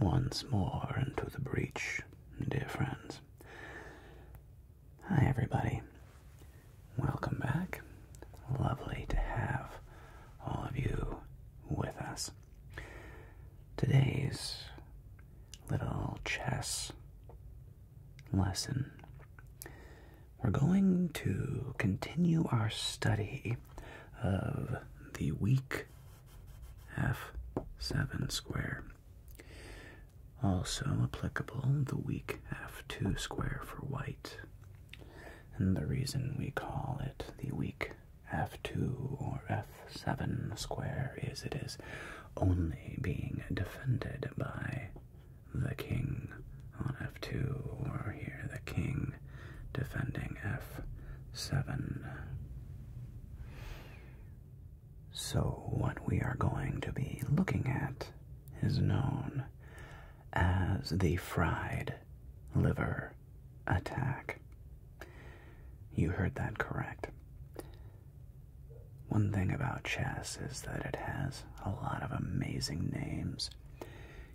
Once more into the breach, dear friends. Hi, everybody. Welcome back. Lovely to have all of you with us. Today's little chess lesson we're going to continue our study of the weak f7 square. Also applicable, the weak f2 square for white. And the reason we call it the weak f2 or f7 square is it is only being defended by the king on f2, or here the king defending f7. So, what we are going to be looking at is known as the fried liver attack. You heard that correct. One thing about chess is that it has a lot of amazing names.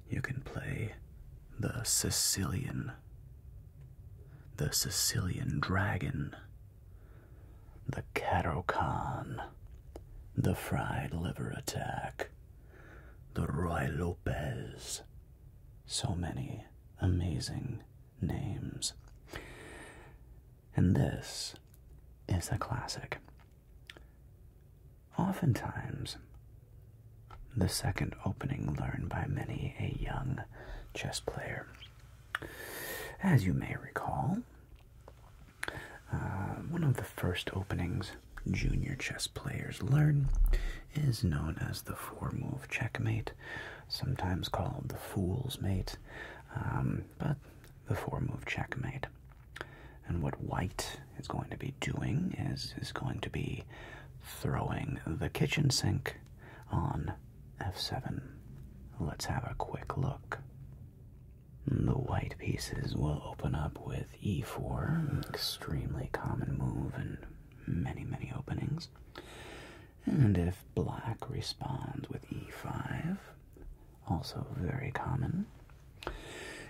You can play the Sicilian, the Sicilian Dragon, the Catocon, the Fried Liver Attack, the Roy Lopez. So many amazing names. And this is a classic. Oftentimes, the second opening learned by many a young chess player. As you may recall, uh, one of the first openings junior chess players learn is known as the four move checkmate, sometimes called the fool's mate, um, but the four move checkmate. And what white is going to be doing is is going to be throwing the kitchen sink on f7. Let's have a quick look. The white pieces will open up with e4, extremely common move in many, many openings. And if black responds with e5, also very common.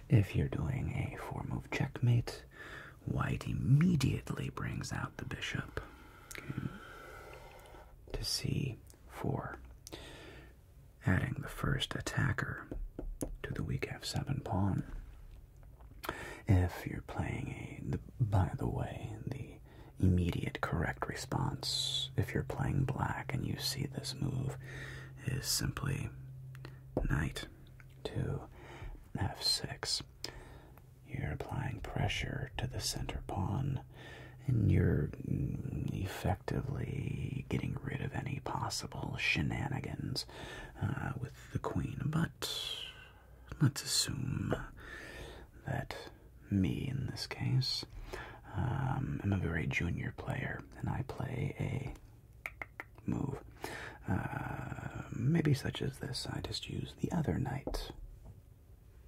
If you're doing a four move checkmate, white immediately brings out the bishop hmm, to c4, adding the first attacker to the weak f7 pawn. If you're playing a, by the way, the immediate correct response, if you're playing black and you see this move, is simply knight to f6. You're applying pressure to the center pawn, and you're effectively getting rid of any possible shenanigans uh, with the queen. But let's assume that me, in this case, um, I'm a very junior player, and I play a move. Uh, maybe such as this, I just use the other knight.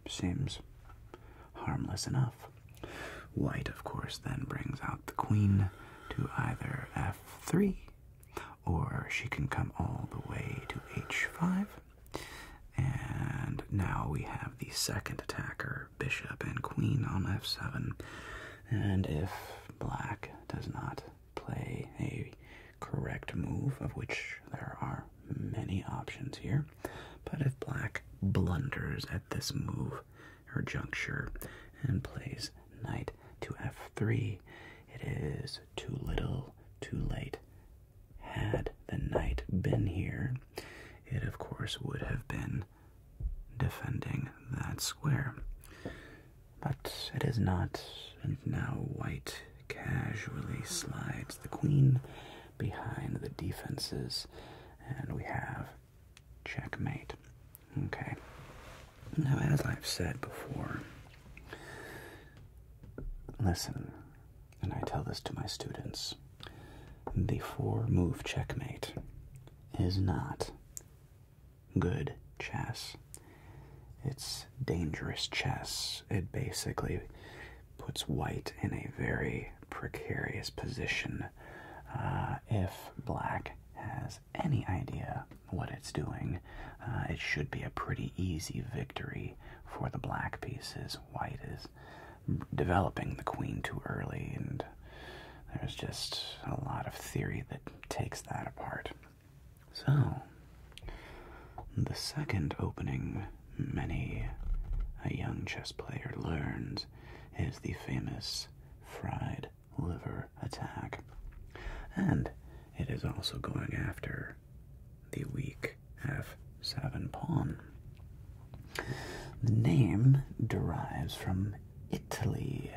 Seems harmless enough. White, of course, then brings out the queen to either f3, or she can come all the way to h5. And now we have the second attacker bishop and queen on f7. And if black does not play a correct move, of which there are many options here, but if black blunders at this move or juncture and plays knight to f3, it is too little, too late. Had the knight been here, it of course would have been defending that square. But it is not, and now white casually slides the queen behind the defenses, and we have checkmate. Okay. Now, as I've said before, listen, and I tell this to my students the four move checkmate is not good chess. It's dangerous chess. It basically puts white in a very precarious position uh, if black has any idea what it's doing. Uh, it should be a pretty easy victory for the black pieces. White is developing the queen too early, and there's just a lot of theory that takes that apart. So, the second opening many a young chess player learns is the famous fried liver attack. And it is also going after the weak f7 pawn. The name derives from Italy,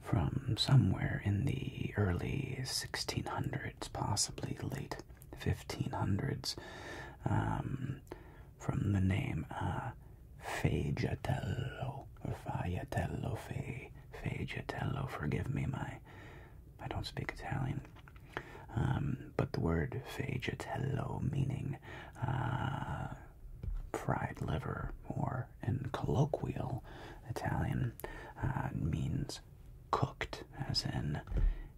from somewhere in the early 1600s, possibly late 1500s, um, from the name uh, Fagatello, or Fagatello, Fe, forgive me, my, I don't speak Italian. Um, but the word fagitello, meaning uh, fried liver, or in colloquial Italian, uh, means cooked, as in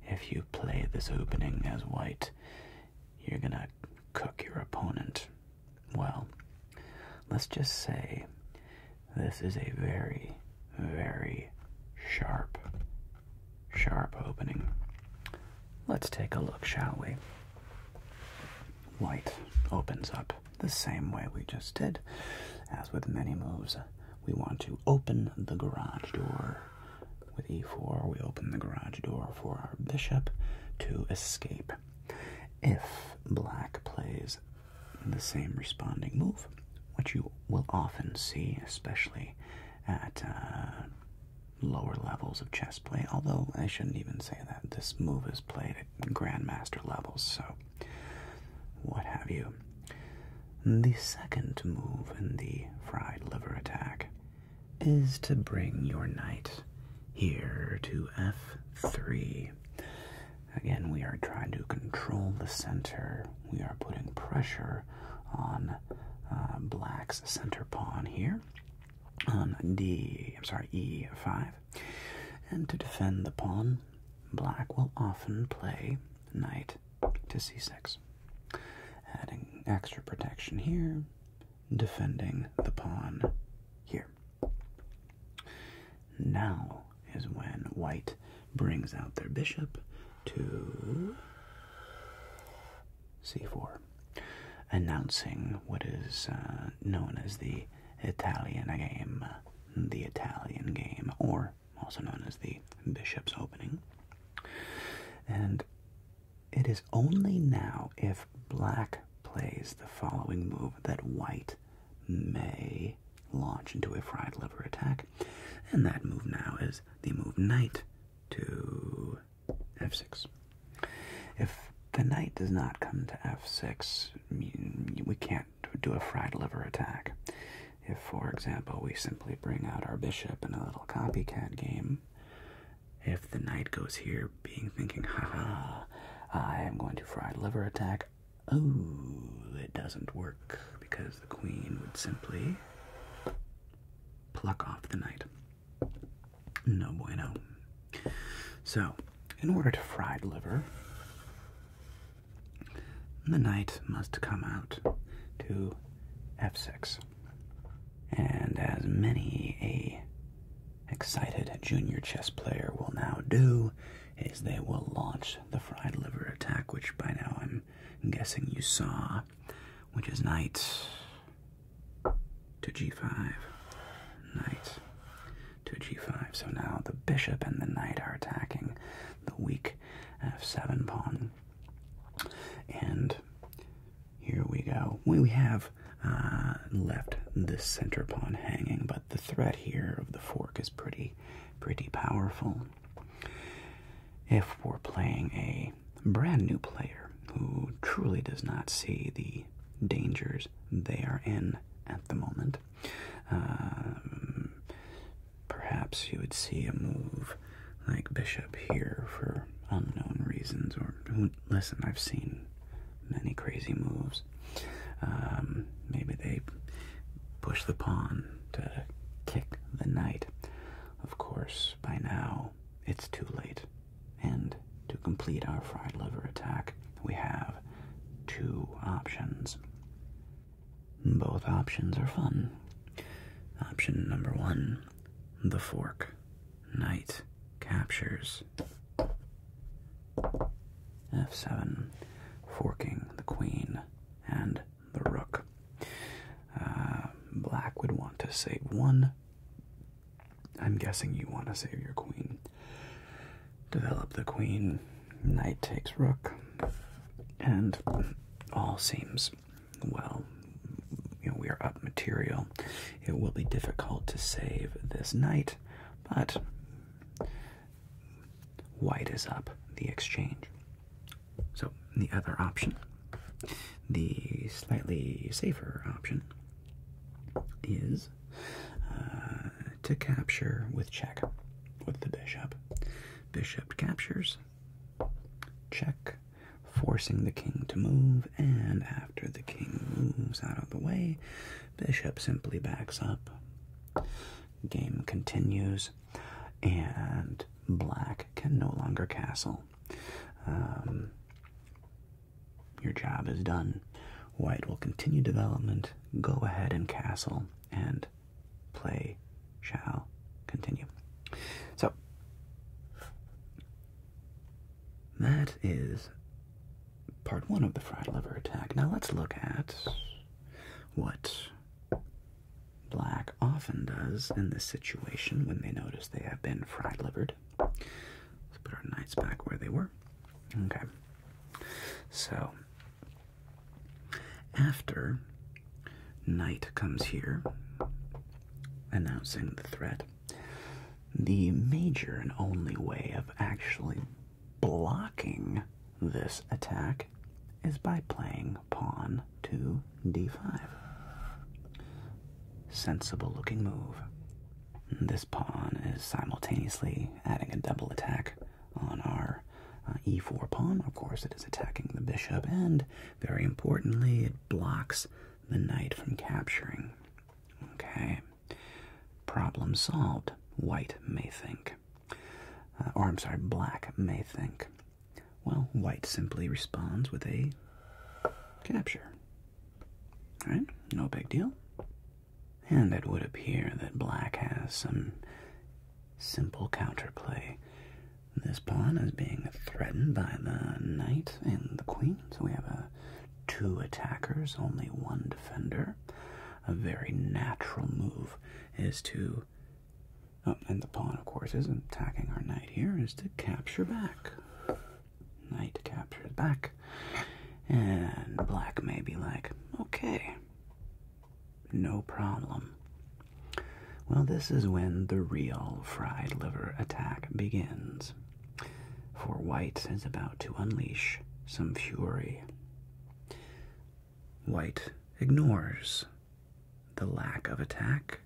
if you play this opening as white, you're gonna cook your opponent. Well, let's just say this is a very, very sharp sharp opening. Let's take a look, shall we? White opens up the same way we just did. As with many moves, we want to open the garage door. With e4, we open the garage door for our bishop to escape. If black plays the same responding move, which you will often see, especially at uh, lower levels of chess play, although I shouldn't even say that. This move is played at grandmaster levels, so what have you. The second move in the fried liver attack is to bring your knight here to f3. Again, we are trying to control the center. We are putting pressure on uh, black's center pawn here on um, d, I'm sorry, e5. And to defend the pawn, black will often play knight to c6, adding extra protection here, defending the pawn here. Now is when white brings out their bishop to c4, announcing what is uh, known as the Italian game, the Italian game, or also known as the Bishop's Opening. And it is only now if black plays the following move that white may launch into a fried liver attack. And that move now is the move knight to f6. If the knight does not come to f6, we can't do a fried liver attack. If, for example, we simply bring out our bishop in a little copycat game, if the knight goes here being thinking, "Ha ha, I am going to fried liver attack, oh, it doesn't work because the queen would simply pluck off the knight. No bueno. So, in order to fried liver, the knight must come out to f6. And as many a excited junior chess player will now do, is they will launch the fried liver attack, which by now I'm guessing you saw, which is knight to g5, knight to g5. So now the bishop and the knight are attacking the weak f7 pawn. And here we go. We have uh, left the center pawn hanging, but the threat here of the fork is pretty, pretty powerful if we're playing a brand new player who truly does not see the dangers they are in at the moment. Um, perhaps you would see a move like Bishop here for unknown reasons, or listen, I've seen many crazy moves. Um, maybe they push the pawn to kick the knight. Of course, by now it's too late. And to complete our fried liver attack, we have two options. Both options are fun. Option number one The Fork. Knight captures f7, forking the queen and the rook. Uh, black would want to save one. I'm guessing you want to save your queen. Develop the queen. Knight takes rook. And all seems well. we are up material. It will be difficult to save this knight, but white is up the exchange. So, the other option, the slightly safer option, is uh, to capture with check, with the bishop. Bishop captures, check, forcing the king to move, and after the king moves out of the way, bishop simply backs up. Game continues, and black can no longer castle. Um, your job is done. White will continue development, go ahead and castle, and play shall continue. So, that is part one of the fried liver attack. Now let's look at what black often does in this situation when they notice they have been fried livered. Let's put our knights back where they were. Okay. So, after knight comes here, announcing the threat, the major and only way of actually blocking this attack is by playing pawn to d5. Sensible looking move. This pawn is simultaneously adding a double attack on our uh, e4 pawn. Of course, it is attacking the bishop, and very importantly, it blocks the knight from capturing. Okay. Problem solved, white may think. Uh, or I'm sorry, black may think. Well, white simply responds with a capture. Alright, no big deal. And it would appear that black has some simple counterplay. This pawn is being threatened by the knight and the queen, so we have a two attackers, only one defender. A very natural move is to and the pawn, of course, isn't attacking our knight here, is to capture back. Knight captures back. And black may be like, okay, no problem. Well, this is when the real fried liver attack begins. For white is about to unleash some fury. White ignores the lack of attack,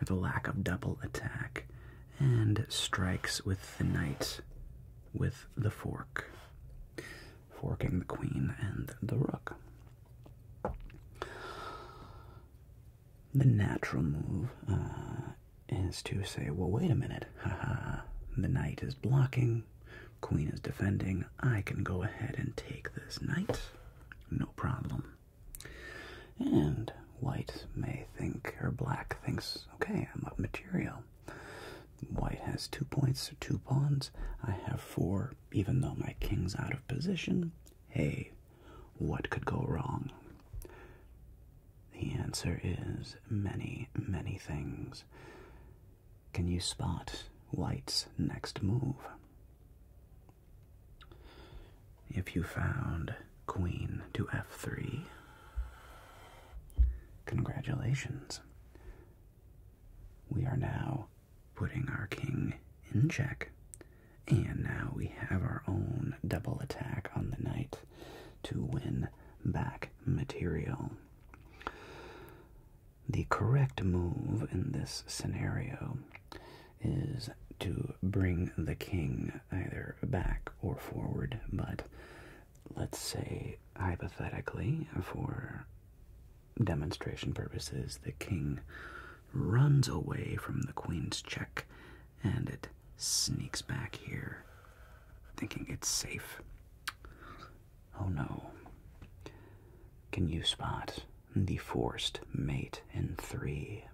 or the lack of double attack, and strikes with the knight with the fork, forking the queen and the rook. The natural move uh, is to say, well, wait a minute, haha, the knight is blocking, queen is defending, I can go ahead and take this knight, no problem. And white may think, or black thinks, okay, I'm up material. White has two points, two pawns. I have four, even though my king's out of position. Hey, what could go wrong? The answer is many, many things. Can you spot white's next move? If you found queen to f3, congratulations. We are now putting our king in check. And now we have our own double attack on the knight to win back material. The correct move in this scenario is to bring the king either back or forward, but let's say hypothetically, for demonstration purposes, the king runs away from the queen's check and it sneaks back here, thinking it's safe. Oh no. Can you spot the forced mate in three.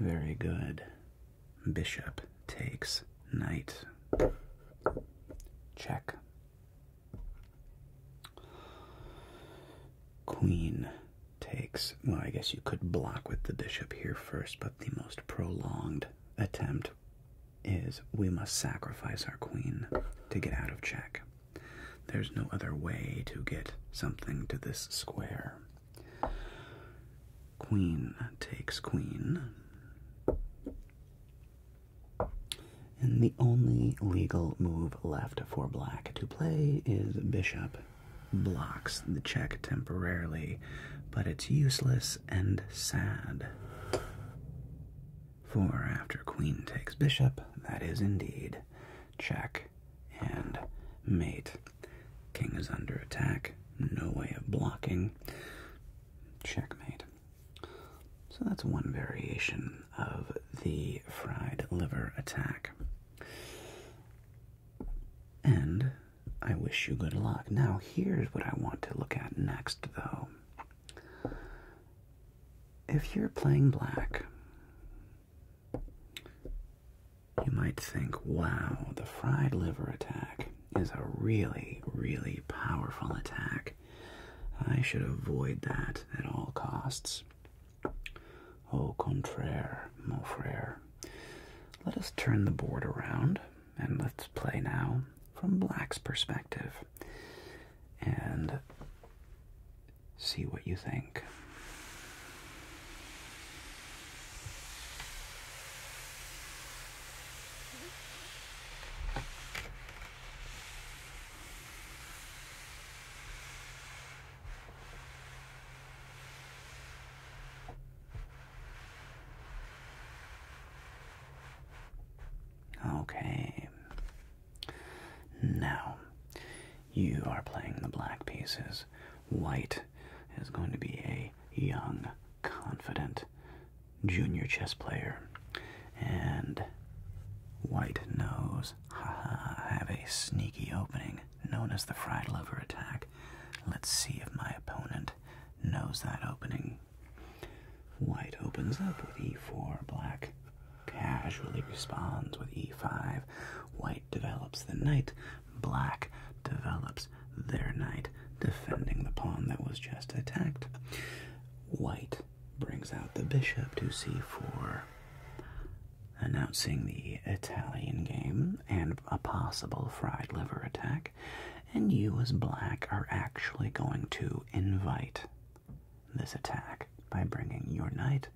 Very good. Bishop takes knight. Check. Queen takes, well, I guess you could block with the bishop here first, but the most prolonged attempt is we must sacrifice our queen to get out of check. There's no other way to get something to this square. Queen takes queen. And the only legal move left for black to play is bishop. Blocks the check temporarily, but it's useless and sad. For after queen takes bishop, that is indeed check and mate. King is under attack, no way of blocking, checkmate. So that's one variation of the fried liver attack. And I wish you good luck. Now, here's what I want to look at next, though. If you're playing black, you might think, wow, the fried liver attack is a really, really powerful attack. I should avoid that at all costs. Au contraire, mon frere. Let us turn the board around and let's play now from black's perspective and see what you think. Okay. Now, you are playing the black pieces. White is going to be a young, confident junior chess player. And white knows, haha, I have a sneaky opening known as the fried lover attack. Let's see if my opponent knows that opening. White opens up with e4, black casually responds with e5. White develops the knight, black develops their knight, defending the pawn that was just attacked. White brings out the bishop to c4, announcing the Italian game and a possible fried liver attack. And you, as black, are actually going to invite this attack by bringing your knight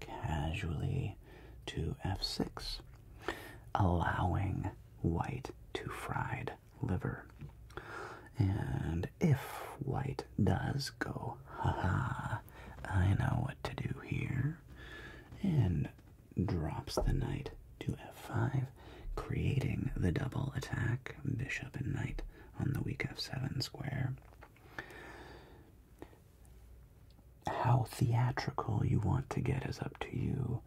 casually to f6, allowing white to fried liver. And if white does go, ha ha! I know what to do here, and drops the knight to f5, creating the double attack, bishop and knight on the weak f7 square. How theatrical you want to get is up to you.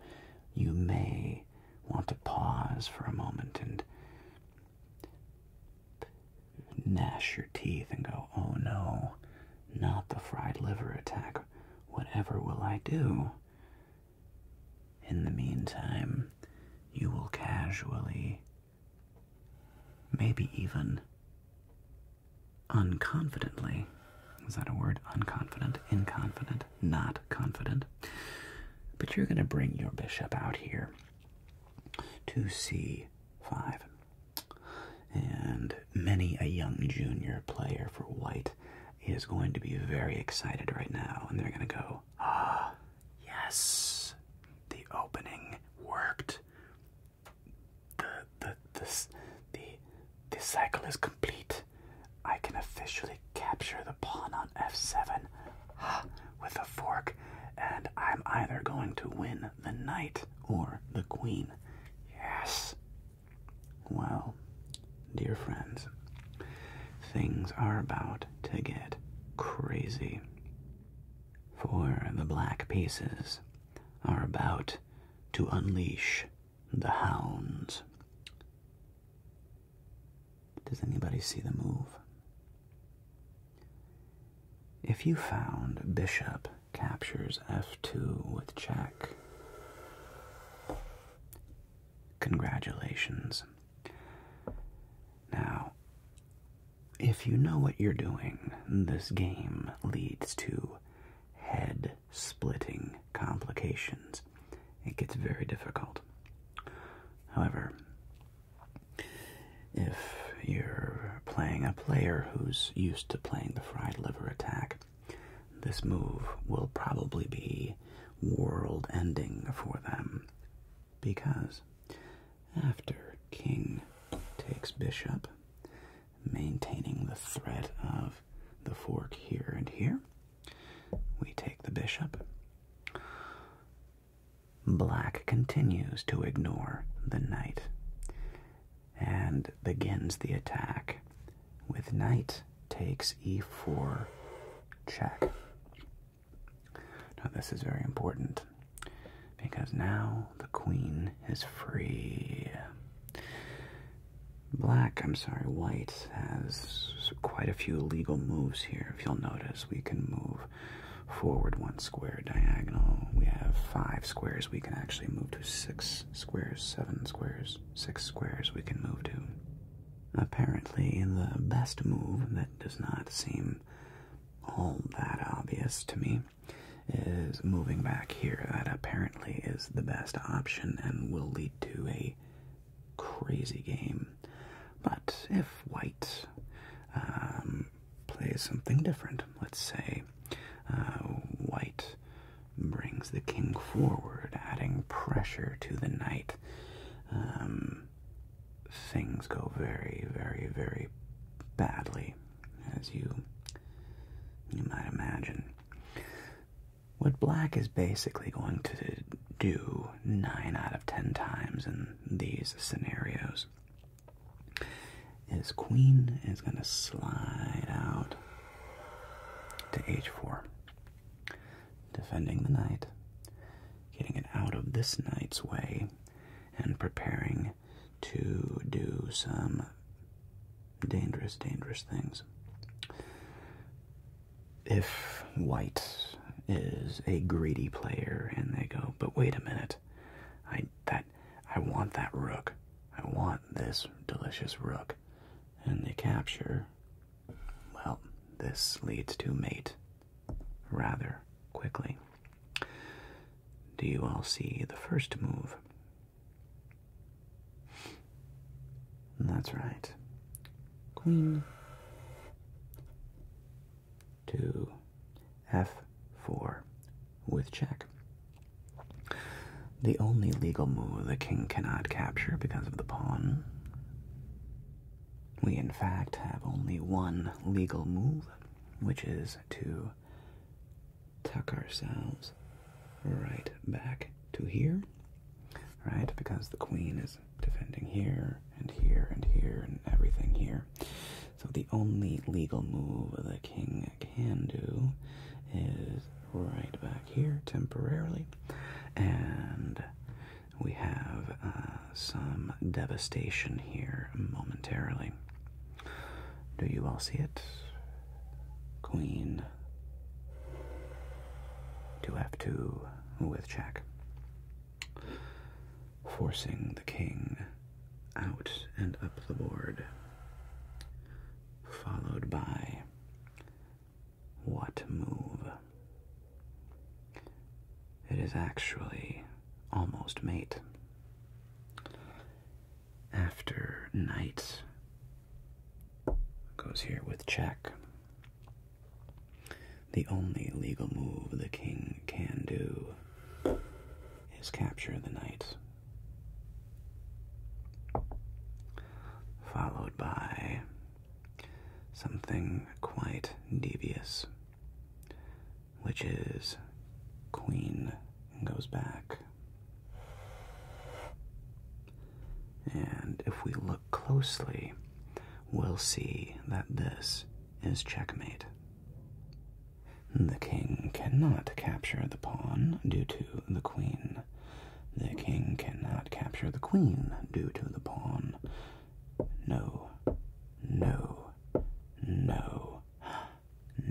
You may want to pause for a moment and gnash your teeth and go, oh no, not the fried liver attack. Whatever will I do? In the meantime, you will casually, maybe even unconfidently, is that a word? Unconfident, inconfident, not confident. But you're going to bring your bishop out here to c5. And many a young junior player for white is going to be very excited right now, and they're going to go, Ah, yes. The opening worked. The the this the the cycle is complete. I can officially capture the pawn on f7 uh, ah, with a fork, and I'm either going to win the knight or the queen. Yes. Well, dear friends, things are about to get crazy. For the black pieces are about to unleash the hounds. Does anybody see the move? If you found bishop captures f2 with check, congratulations. Now, if you know what you're doing, this game leads to head splitting complications. It gets very difficult. However, if you're playing a player who's used to playing the fried liver attack, this move will probably be world ending for them. Because after king takes bishop, maintaining the threat of the fork here and here, we take the bishop. Black continues to ignore the knight and begins the attack with knight takes e4 check. Now, this is very important because now the queen is free. Black, I'm sorry, white has quite a few legal moves here. If you'll notice, we can move forward one square diagonal. We have five squares. We can actually move to six squares, seven squares, six squares. We can move to Apparently, the best move that does not seem all that obvious to me is moving back here. That apparently is the best option and will lead to a crazy game. But if white um, plays something different, let's say uh, white brings the king forward, adding pressure to the knight. Um, things go very, very, very badly, as you you might imagine. What black is basically going to do nine out of ten times in these scenarios is queen is going to slide out to h4, defending the knight, getting it out of this night's way and preparing to do some dangerous, dangerous things. If White is a greedy player and they go, but wait a minute, I that I want that rook. I want this delicious rook. And they capture well, this leads to mate rather quickly. Do you all see the first move? That's right. Queen to f4 with check. The only legal move the king cannot capture because of the pawn we, in fact, have only one legal move, which is to tuck ourselves right back to here, right? Because the queen is defending here and here and here and everything here. So the only legal move the king can do is right back here temporarily and we have uh, some devastation here momentarily. Do you all see it? Queen. 2f2 with check. Forcing the king out and up the board. Followed by what move. It is actually almost mate. After knight goes here with check. The only legal move the king can do is capture the knight. Followed by something quite devious, which is Queen goes back. And if we look closely, we'll see that this is checkmate. The king cannot capture the pawn due to the queen. The king cannot capture the queen due to the pawn. No, no, no,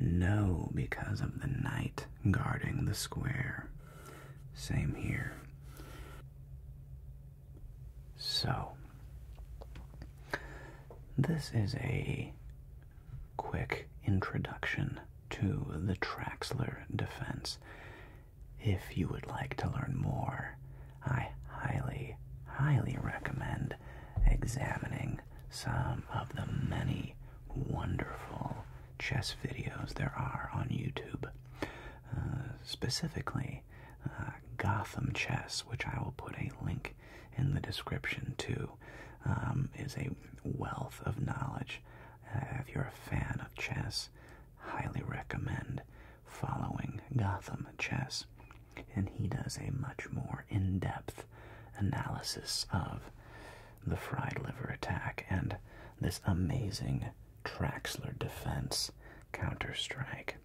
no, because of the knight guarding the square. Same here. So, this is a quick introduction to the Traxler defense. If you would like to learn more, I highly, highly recommend examining some of the many wonderful chess videos there are on YouTube. Uh, specifically, uh, Gotham Chess, which I will put a link in the description to, um, is a wealth of knowledge. Uh, if you're a fan of chess, highly recommend following Gotham Chess, and he does a much more in depth analysis of the fried liver attack and this amazing Traxler defense counter strike.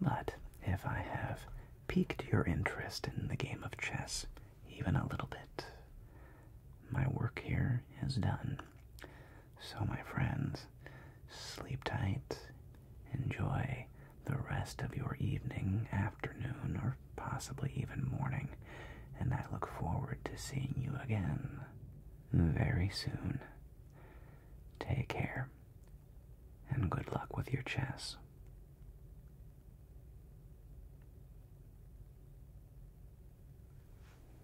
But if I have piqued your interest in the game of chess even a little bit, my work here is done. So, my friends, sleep tight, enjoy the rest of your evening, afternoon, or possibly even morning, and I look forward to seeing you again very soon. Take care, and good luck with your chess.